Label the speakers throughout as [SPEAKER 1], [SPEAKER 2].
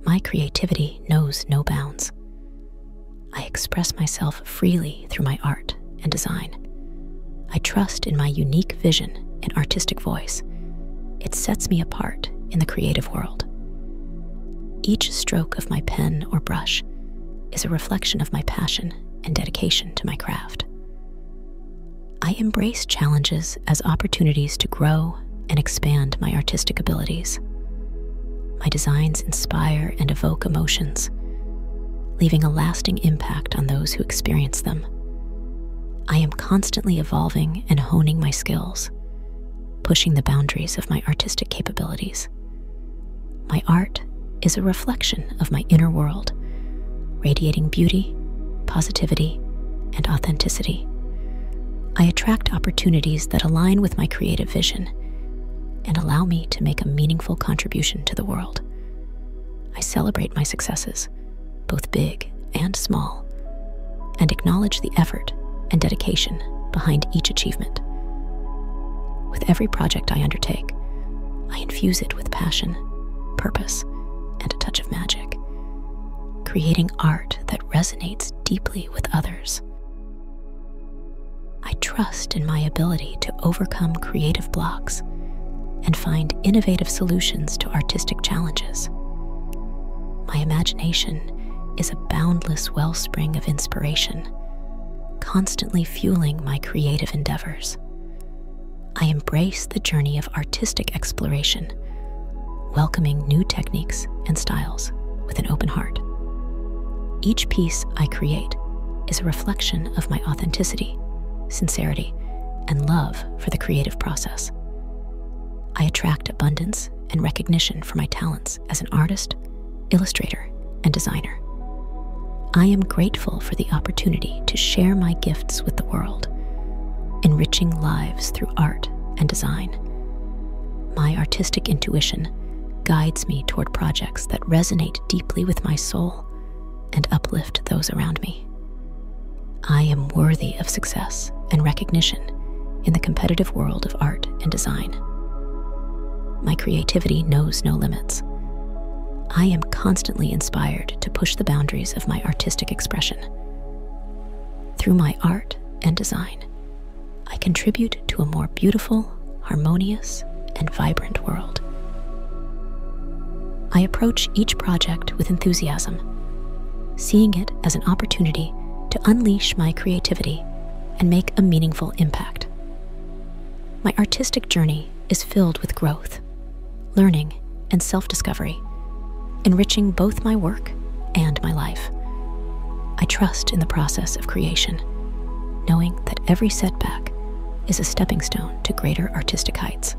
[SPEAKER 1] My creativity knows no bounds. I express myself freely through my art and design. I trust in my unique vision and artistic voice. It sets me apart in the creative world. Each stroke of my pen or brush is a reflection of my passion and dedication to my craft. I embrace challenges as opportunities to grow and expand my artistic abilities. My designs inspire and evoke emotions, leaving a lasting impact on those who experience them. I am constantly evolving and honing my skills, pushing the boundaries of my artistic capabilities. My art is a reflection of my inner world, radiating beauty, positivity, and authenticity. I attract opportunities that align with my creative vision and allow me to make a meaningful contribution to the world. I celebrate my successes, both big and small, and acknowledge the effort and dedication behind each achievement. With every project I undertake, I infuse it with passion, purpose, and a touch of magic, creating art that resonates deeply with others. I trust in my ability to overcome creative blocks and find innovative solutions to artistic challenges. My imagination is a boundless wellspring of inspiration, constantly fueling my creative endeavors. I embrace the journey of artistic exploration welcoming new techniques and styles with an open heart. Each piece I create is a reflection of my authenticity, sincerity, and love for the creative process. I attract abundance and recognition for my talents as an artist, illustrator, and designer. I am grateful for the opportunity to share my gifts with the world, enriching lives through art and design my artistic intuition guides me toward projects that resonate deeply with my soul and uplift those around me. I am worthy of success and recognition in the competitive world of art and design. My creativity knows no limits. I am constantly inspired to push the boundaries of my artistic expression. Through my art and design, I contribute to a more beautiful, harmonious, and vibrant world. I approach each project with enthusiasm, seeing it as an opportunity to unleash my creativity and make a meaningful impact. My artistic journey is filled with growth, learning, and self discovery, enriching both my work and my life. I trust in the process of creation, knowing that every setback is a stepping stone to greater artistic heights.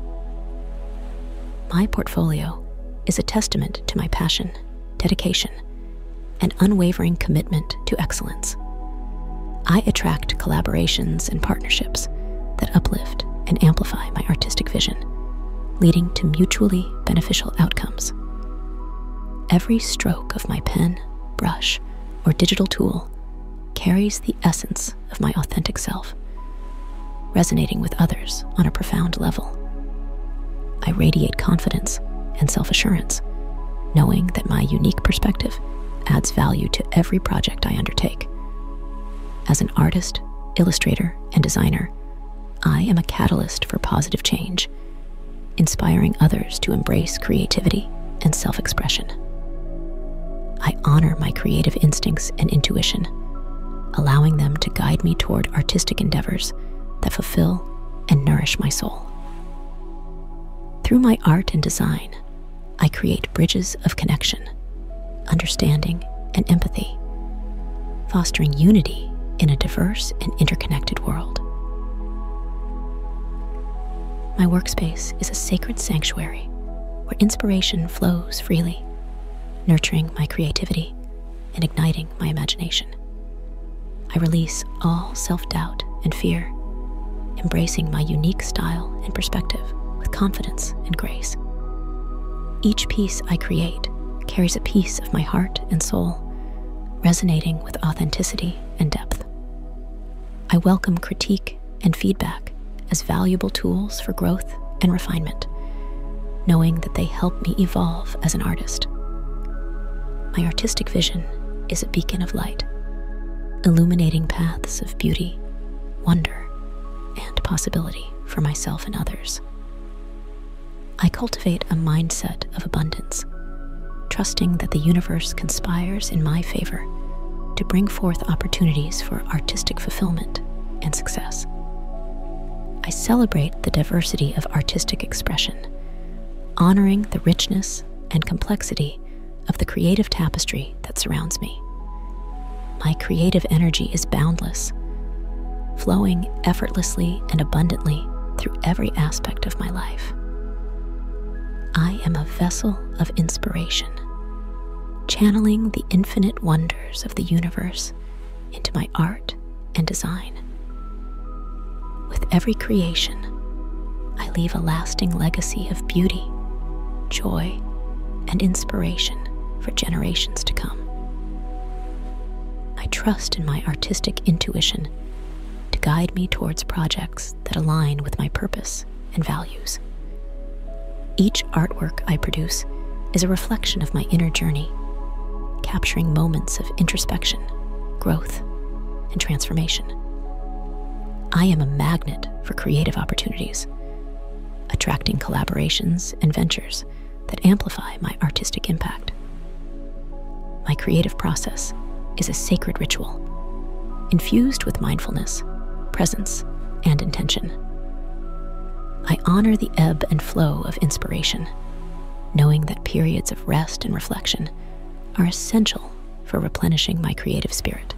[SPEAKER 1] My portfolio is a testament to my passion, dedication, and unwavering commitment to excellence. I attract collaborations and partnerships that uplift and amplify my artistic vision, leading to mutually beneficial outcomes. Every stroke of my pen, brush, or digital tool carries the essence of my authentic self, resonating with others on a profound level. I radiate confidence and self assurance, knowing that my unique perspective adds value to every project I undertake. As an artist, illustrator, and designer, I am a catalyst for positive change inspiring others to embrace creativity and self expression. I honor my creative instincts and intuition, allowing them to guide me toward artistic endeavors that fulfill and nourish my soul. Through my art and design, I create bridges of connection, understanding, and empathy fostering unity in a diverse and interconnected world. My workspace is a sacred sanctuary where inspiration flows freely, nurturing my creativity and igniting my imagination. I release all self doubt and fear, embracing my unique style and perspective with confidence and grace. Each piece I create carries a piece of my heart and soul, resonating with authenticity and depth. I welcome critique and feedback as valuable tools for growth and refinement, knowing that they help me evolve as an artist. My artistic vision is a beacon of light, illuminating paths of beauty, wonder, and possibility for myself and others. I cultivate a mindset of abundance, trusting that the universe conspires in my favor to bring forth opportunities for artistic fulfillment and success. I celebrate the diversity of artistic expression, honoring the richness and complexity of the creative tapestry that surrounds me. My creative energy is boundless, flowing effortlessly and abundantly through every aspect of my life. I am a vessel of inspiration, channeling the infinite wonders of the universe into my art and design. With every creation, I leave a lasting legacy of beauty, joy, and inspiration for generations to come. I trust in my artistic intuition to guide me towards projects that align with my purpose and values. Each artwork I produce is a reflection of my inner journey, capturing moments of introspection, growth, and transformation. I am a magnet for creative opportunities, attracting collaborations and ventures that amplify my artistic impact. My creative process is a sacred ritual, infused with mindfulness, presence, and intention. I honor the ebb and flow of inspiration, knowing that periods of rest and reflection are essential for replenishing my creative spirit.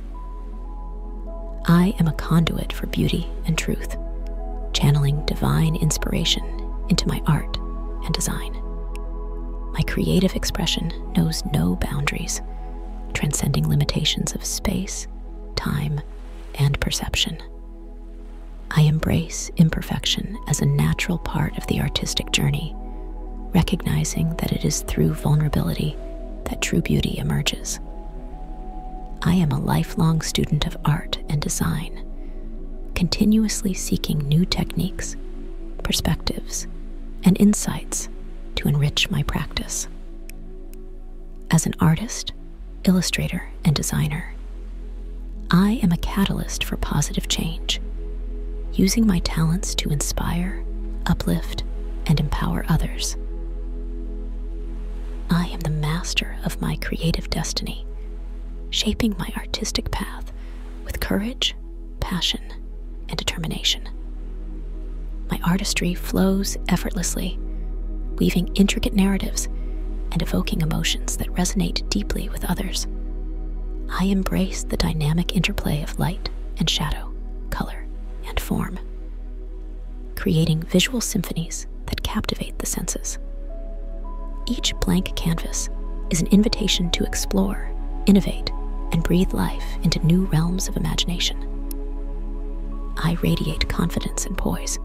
[SPEAKER 1] I am a conduit for beauty and truth, channeling divine inspiration into my art and design. My creative expression knows no boundaries, transcending limitations of space, time, and perception. I embrace imperfection as a natural part of the artistic journey, recognizing that it is through vulnerability that true beauty emerges. I am a lifelong student of art and design, continuously seeking new techniques, perspectives, and insights to enrich my practice. As an artist, illustrator, and designer, I am a catalyst for positive change, using my talents to inspire, uplift, and empower others. I am the master of my creative destiny, shaping my artistic path with courage, passion, and determination. My artistry flows effortlessly, weaving intricate narratives and evoking emotions that resonate deeply with others. I embrace the dynamic interplay of light and shadow, color and form, creating visual symphonies that captivate the senses. Each blank canvas is an invitation to explore, innovate, and breathe life into new realms of imagination. I radiate confidence and poise,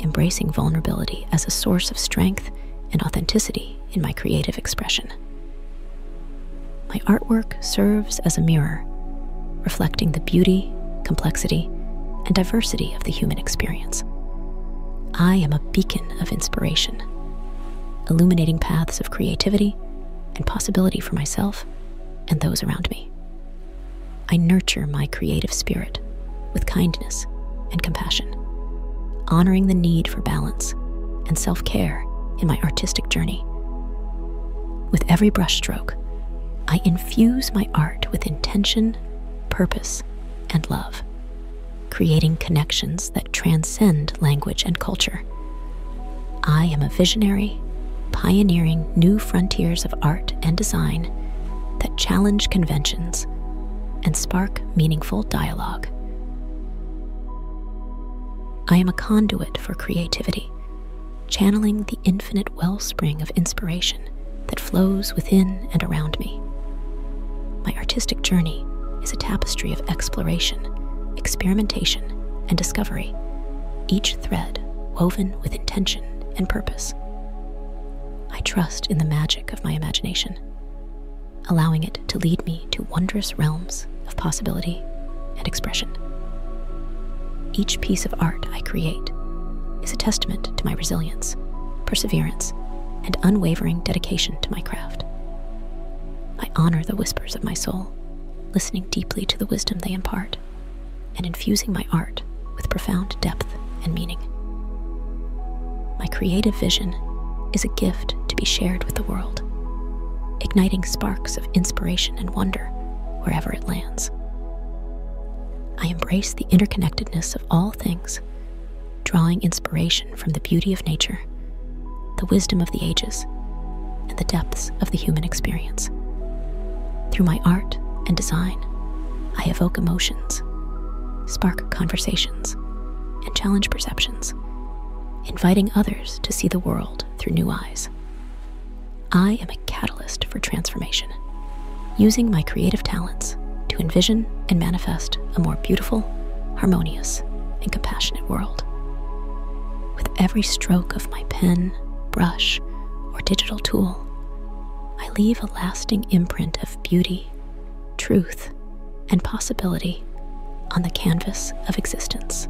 [SPEAKER 1] embracing vulnerability as a source of strength and authenticity in my creative expression. My artwork serves as a mirror, reflecting the beauty, complexity, and diversity of the human experience. I am a beacon of inspiration, illuminating paths of creativity and possibility for myself and those around me. I nurture my creative spirit with kindness and compassion, honoring the need for balance and self care in my artistic journey. With every brushstroke, I infuse my art with intention, purpose, and love, creating connections that transcend language and culture. I am a visionary, pioneering new frontiers of art and design that challenge conventions and spark meaningful dialogue. I am a conduit for creativity, channeling the infinite wellspring of inspiration that flows within and around me. My artistic journey is a tapestry of exploration, experimentation, and discovery, each thread woven with intention and purpose. I trust in the magic of my imagination, allowing it to lead me to wondrous realms of possibility and expression. Each piece of art I create is a testament to my resilience, perseverance, and unwavering dedication to my craft. I honor the whispers of my soul, listening deeply to the wisdom they impart, and infusing my art with profound depth and meaning. My creative vision is a gift to be shared with the world, igniting sparks of inspiration and wonder wherever it lands. I embrace the interconnectedness of all things drawing inspiration from the beauty of nature, the wisdom of the ages, and the depths of the human experience. Through my art and design, I evoke emotions, spark conversations, and challenge perceptions, inviting others to see the world through new eyes. I am a catalyst for transformation, using my creative talents to envision and manifest a more beautiful, harmonious, and compassionate world. With every stroke of my pen, brush, or digital tool, I leave a lasting imprint of beauty, truth, and possibility on the canvas of existence.